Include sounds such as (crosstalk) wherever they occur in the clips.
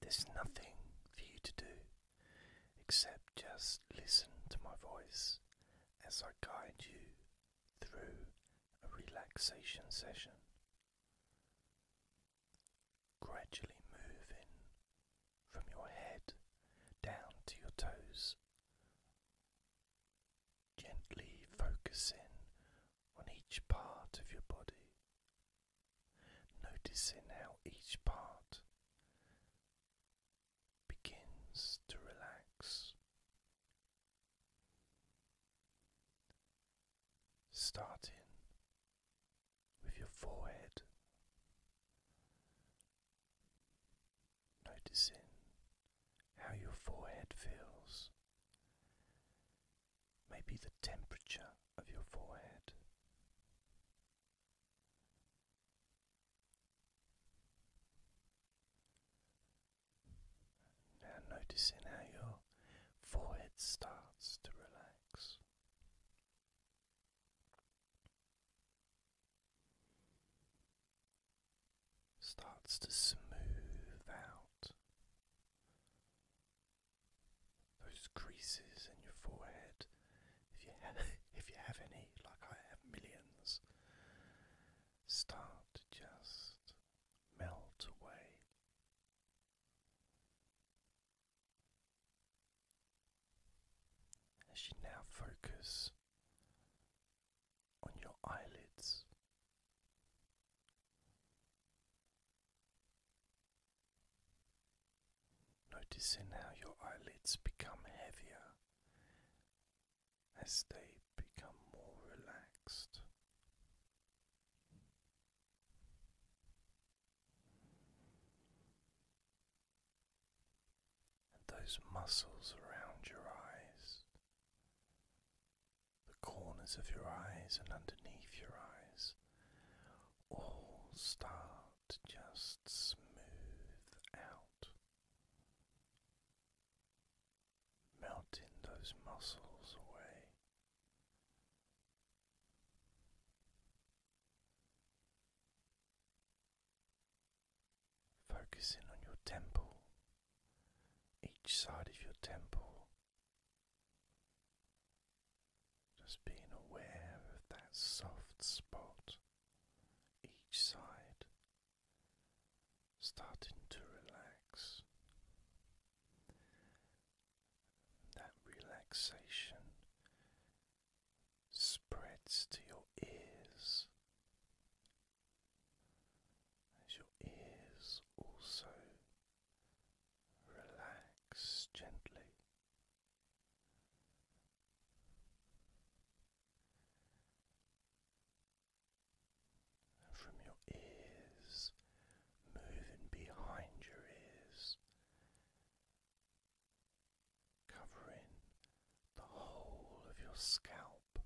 There's nothing for you to do except just listen to my voice as I guide you through a relaxation session. Gradually moving from your head down to your toes, gently focusing on each part of your body noticing how each part begins to relax. Starting with your forehead, noticing how your forehead feels, maybe the temperature of your forehead. Now, noticing how your forehead starts to relax. Starts to smooth out those creases in your forehead, if you have, (laughs) if you have any, like I have millions, start to just melt away. As you now focus on your eyelids, Noticing how your eyelids become heavier as they become more relaxed. And those muscles around your eyes, the corners of your eyes and underneath your eyes, all start just smooth out, melting those muscles away. Focusing on your temple, each side of your temple, just being aware of that soft spot each side, starting to relax. That relaxation spreads to your ears as your ears also relax gently. And from your ears, moving behind your ears, covering the whole of your scalp,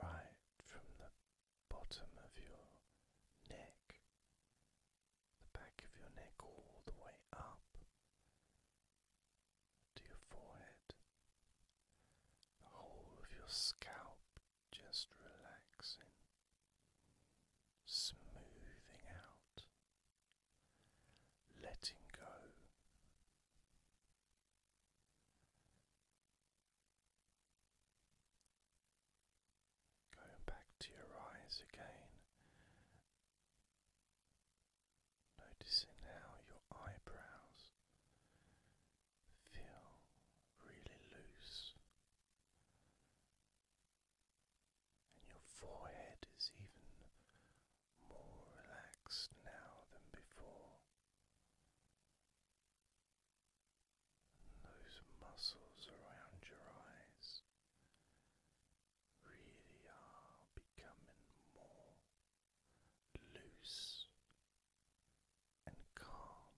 right from the bottom of your neck, the back of your neck, all the way up to your forehead, the whole of your scalp just relaxing, smoothing out, letting go. Going back to your eyes again, noticing how your eyebrows feel really loose, and your forehead is even more relaxed now than before. Those muscles around your eyes really are becoming more loose and calm,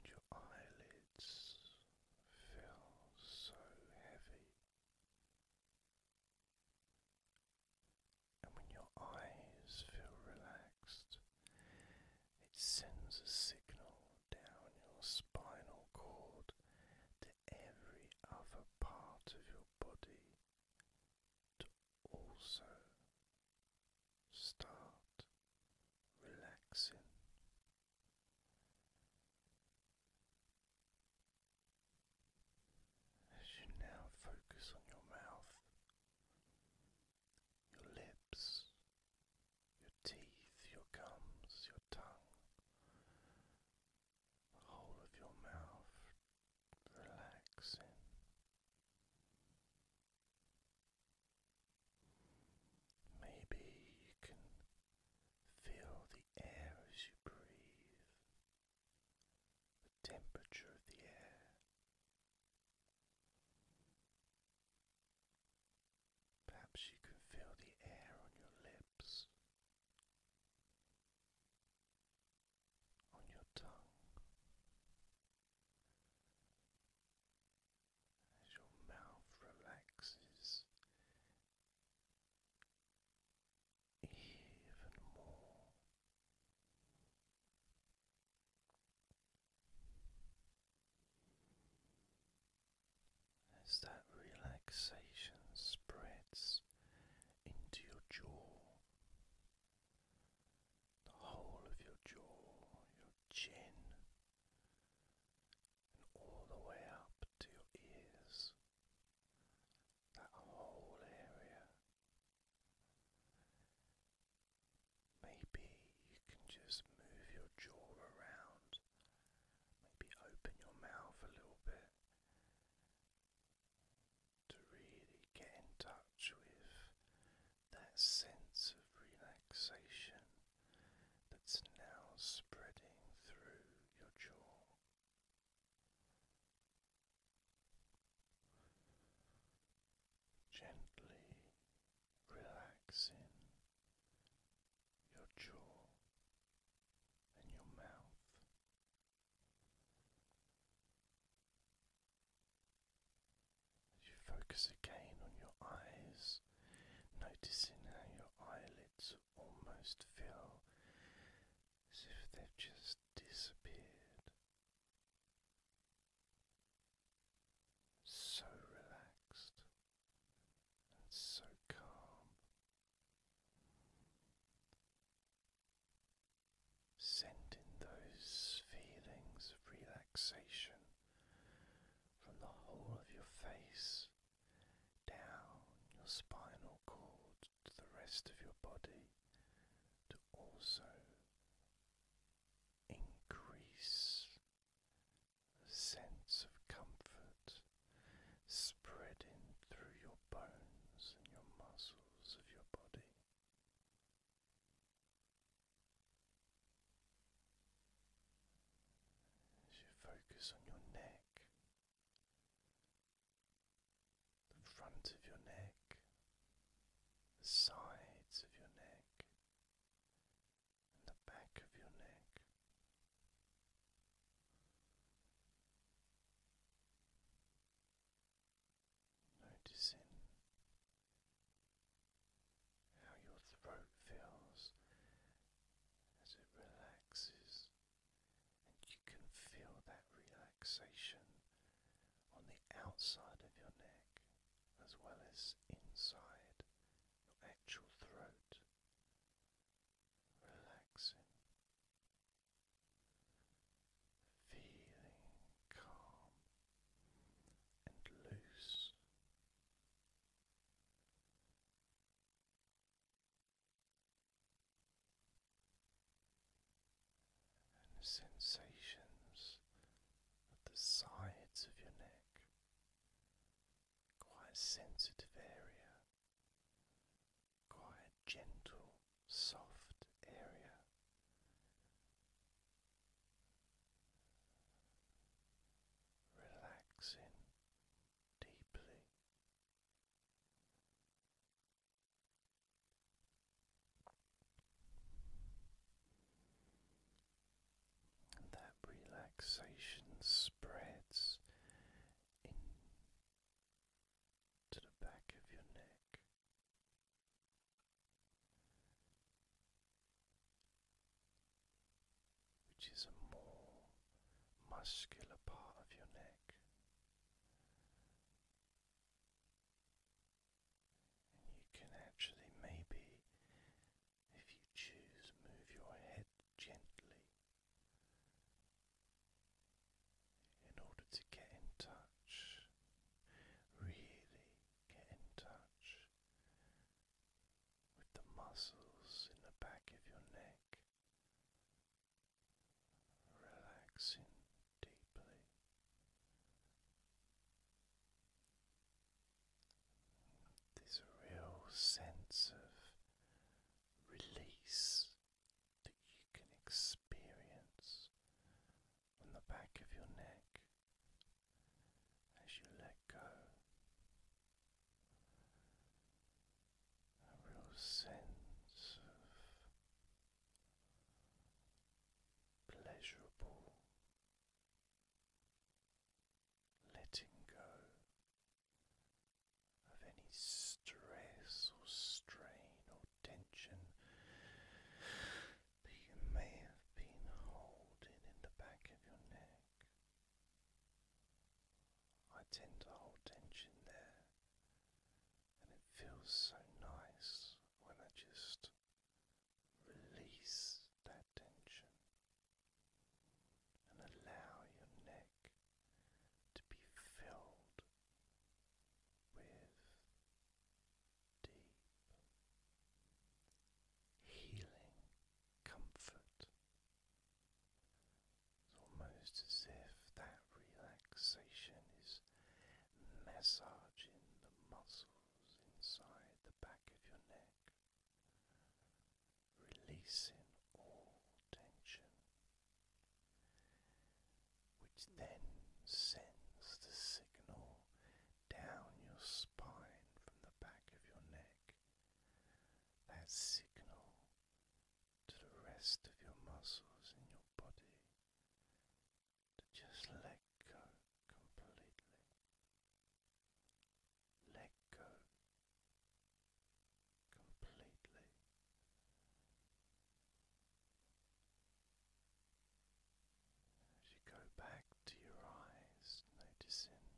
and your eyelids feel so heavy. And when your eyes feel relaxed, it sends a signal down your spinal cord to every other part of your body to also start relaxing. As you now focus on your mouth, your lips, your teeth, your gums, your tongue, the whole of your mouth relaxing. Maybe you can feel the air as you breathe, temperature of the air. Perhaps you can feel the air on your lips, on your tongue, as your mouth relaxes even more. As that relaxation spreads into your jaw, the whole of your jaw, your chin, and all the way up to your ears, that whole area Maybe you can just move your jaw around, maybe open your mouth a little bit to really get in touch with that sense of relaxation that's now spreading through your jaw gently relaxing your jaw and your mouth. As you focus again on your eyes, noticing how your eyelids almost feel as if they've just disappeared so relaxed and so calm. Sending those feelings of relaxation from the whole of your face down your spinal cord to the rest of your body to also increase the sense of comfort spreading through your bones and your muscles of your body. As you focus on your neck, the front of your neck, the sides of your neck, and the back of your neck. Noticing how your throat feels as it relaxes, and you can feel that relaxation on the outside of your neck as well as inside your actual throat, relaxing, feeling calm and loose and the sensations at the sides of your neck, quite a sensitive area, quite gentle, soft area. Relaxing deeply that relaxation spreads into the back of your neck. Which is a more muscular part of your neck, you can actually, maybe, if you choose, move your head gently in order to get in touch, really get in touch with the muscles in the back of your neck. Relaxing deeply. There's real sense of release that you can experience on the back of your neck as you let go. A real sense of pleasurable, letting go of any stress or strain or tension that you may have been holding in the back of your neck. I tend to hold tension there and it feels so nice when I just release that tension and allow your neck to be filled with deep healing comfort. It's almost as if that relaxation is massaging the muscles inside the back of your neck, releasing all tension, which then sends the signal down your spine from the back of your neck. That signal to the rest of your muscles in your body to just let go completely. Let go completely. As you go back to your eyes, noticing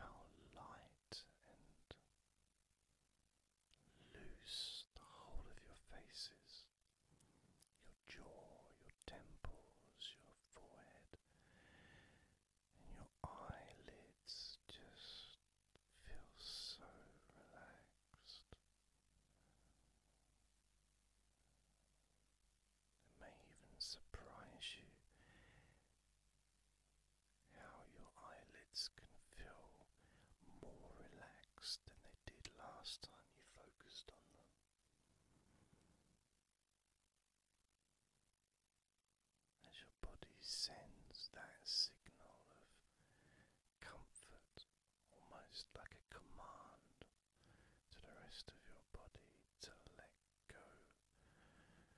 how light and Loose the whole of your faces, your jaw, your temples, your forehead, and your eyelids just feel so relaxed. It may even surprise you how your eyelids can feel more relaxed than they did last time you focused on them. As your body sends that signal of comfort, almost like a command to the rest of your body to let go completely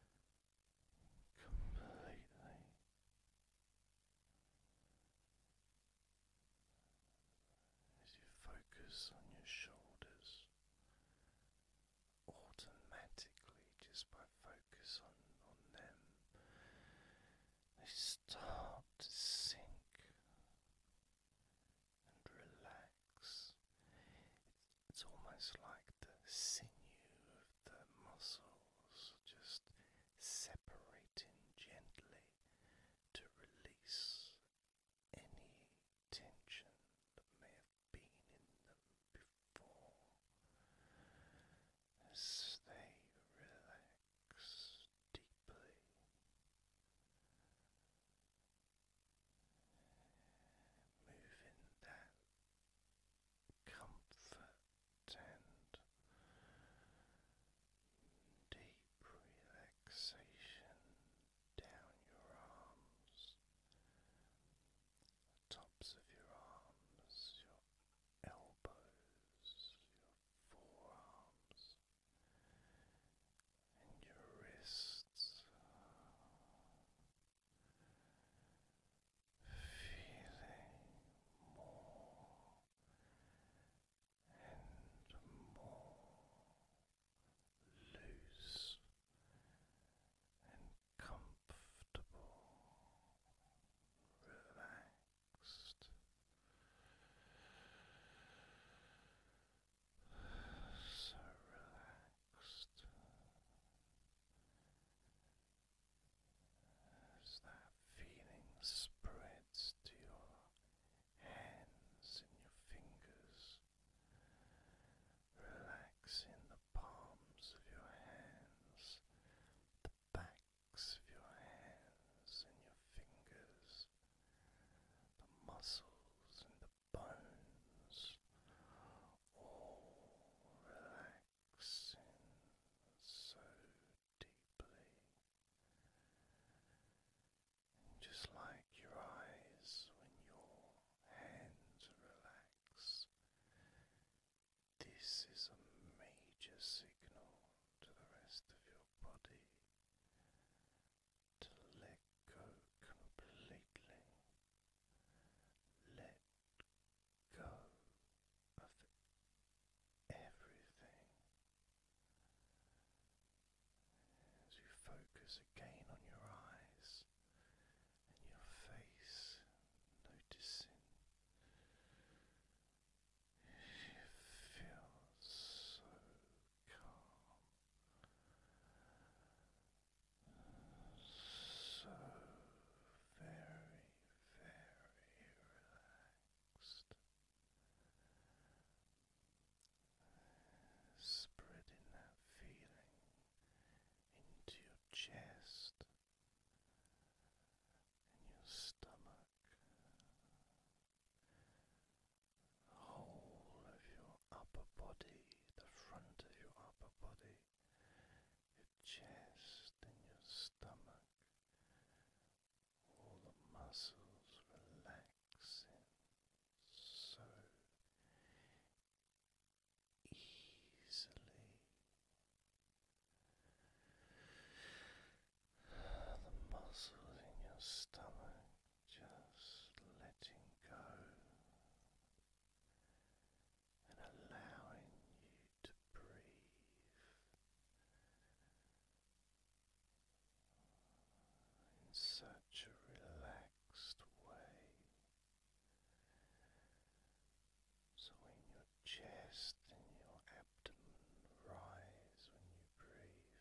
as you focus on your shoulders, automatically, just by focus on, on them, they start to sink and relax. It's almost like the sinew of the muscles just separating gently to release any tension that may have been in them before as they relax deeply. Moving that comfort and deep relaxation down your arms, tops of your arms, your elbows, your forearms, and your wrists feeling more and more loose and comfortable, relaxed. So relaxed as that feeling spreads to your hands and your fingers, relaxing the palms of your hands, the backs of your hands and your fingers, the muscles and the bones, all relaxing so deeply. just like your eyes, when your hands relax, this is a major signal to the rest of your body to let go completely. Let go of everything as you focus again on your eyes and your face, noticing it feels so calm. So very, very relaxed spreading that feeling into your chest and your stomach, whole of your upper body, the front of your upper body, chest and your stomach, all the muscles relaxing so easily. The muscles in your stomach just letting go and allowing you to breathe. In such a relaxed way, so when your chest and your abdomen rise when you breathe,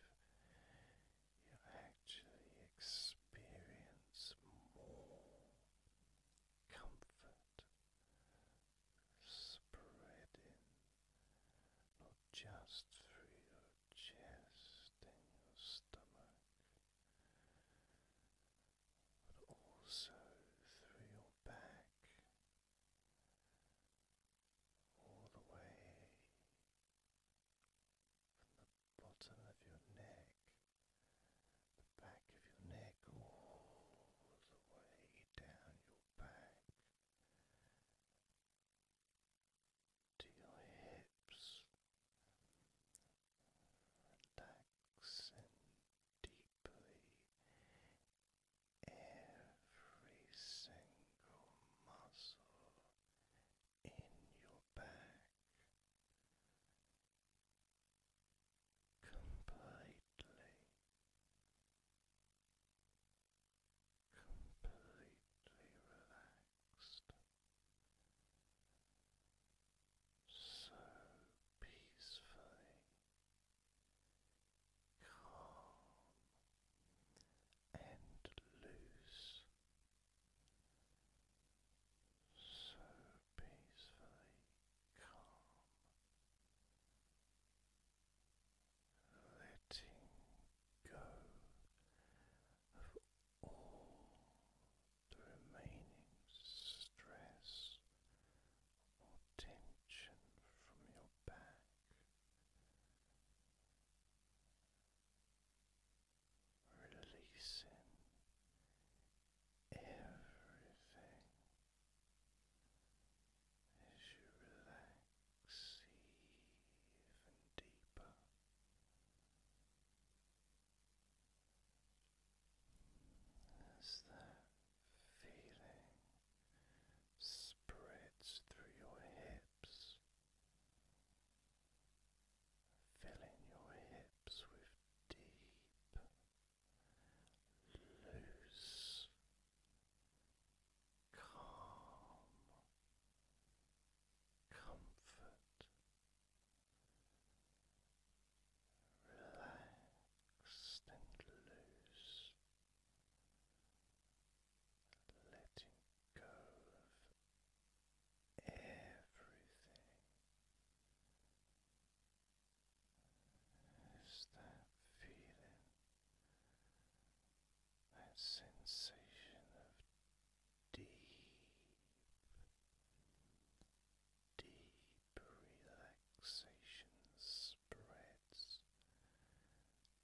you actually experience more comfort spreading not just through your chest and your stomach, but also through your back. All the way from the bottom of your neck, the back of your neck, all the way down your back to your hips, relaxing deeply every single muscle in your back completely, completely relaxed, so peacefully calm and loose. So peacefully calm, letting go of all the remaining stress or tension from your back. Releasing everything as you relax even deeper. As that feeling spreads through your hips, filling your hips with deep loose, calm, comfort, relaxed and loose. Letting go of everything there's that feeling, that sensation of deep, deep relaxation spreads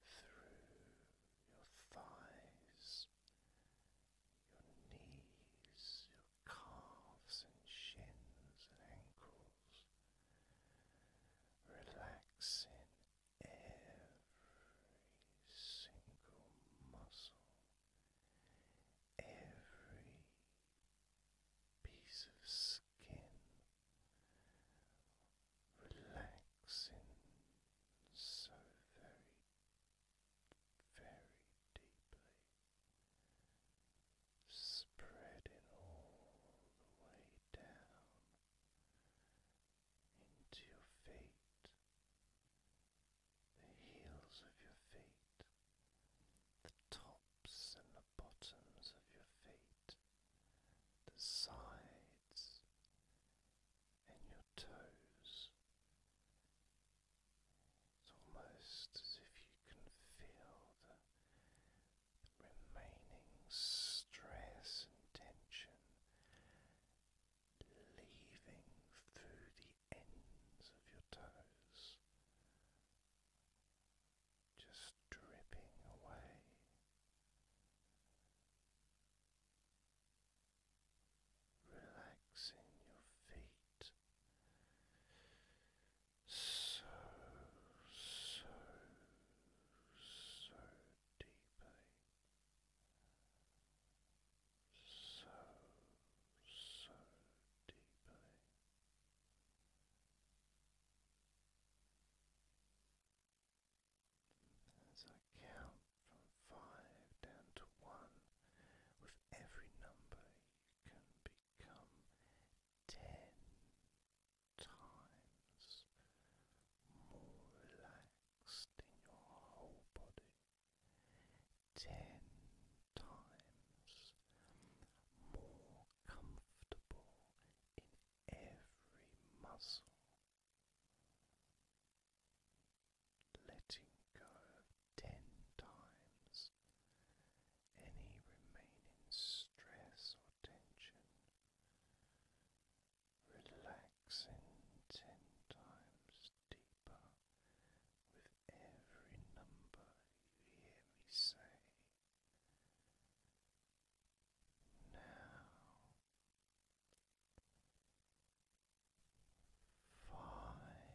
through your thighs. Your knees, your calves and shins and ankles, relaxing every single muscle, every piece of skin, relaxing so very, very deeply spreading all the way down into your feet, the heels of your feet, the tops and the bottoms of your feet, the sides and your toes. It's almost as if you can feel the remaining stress and tension leaving through the ends of your toes, just dripping away. Relaxing your feet, so, so, so deeply, so, so deeply. As I count from five down to one, with every number you can be ten times more relaxed in your whole body, ten times more comfortable in every muscle. Letting go ten times any remaining stress or tension, relaxing ten times deeper with every number you hear me say. Now, five.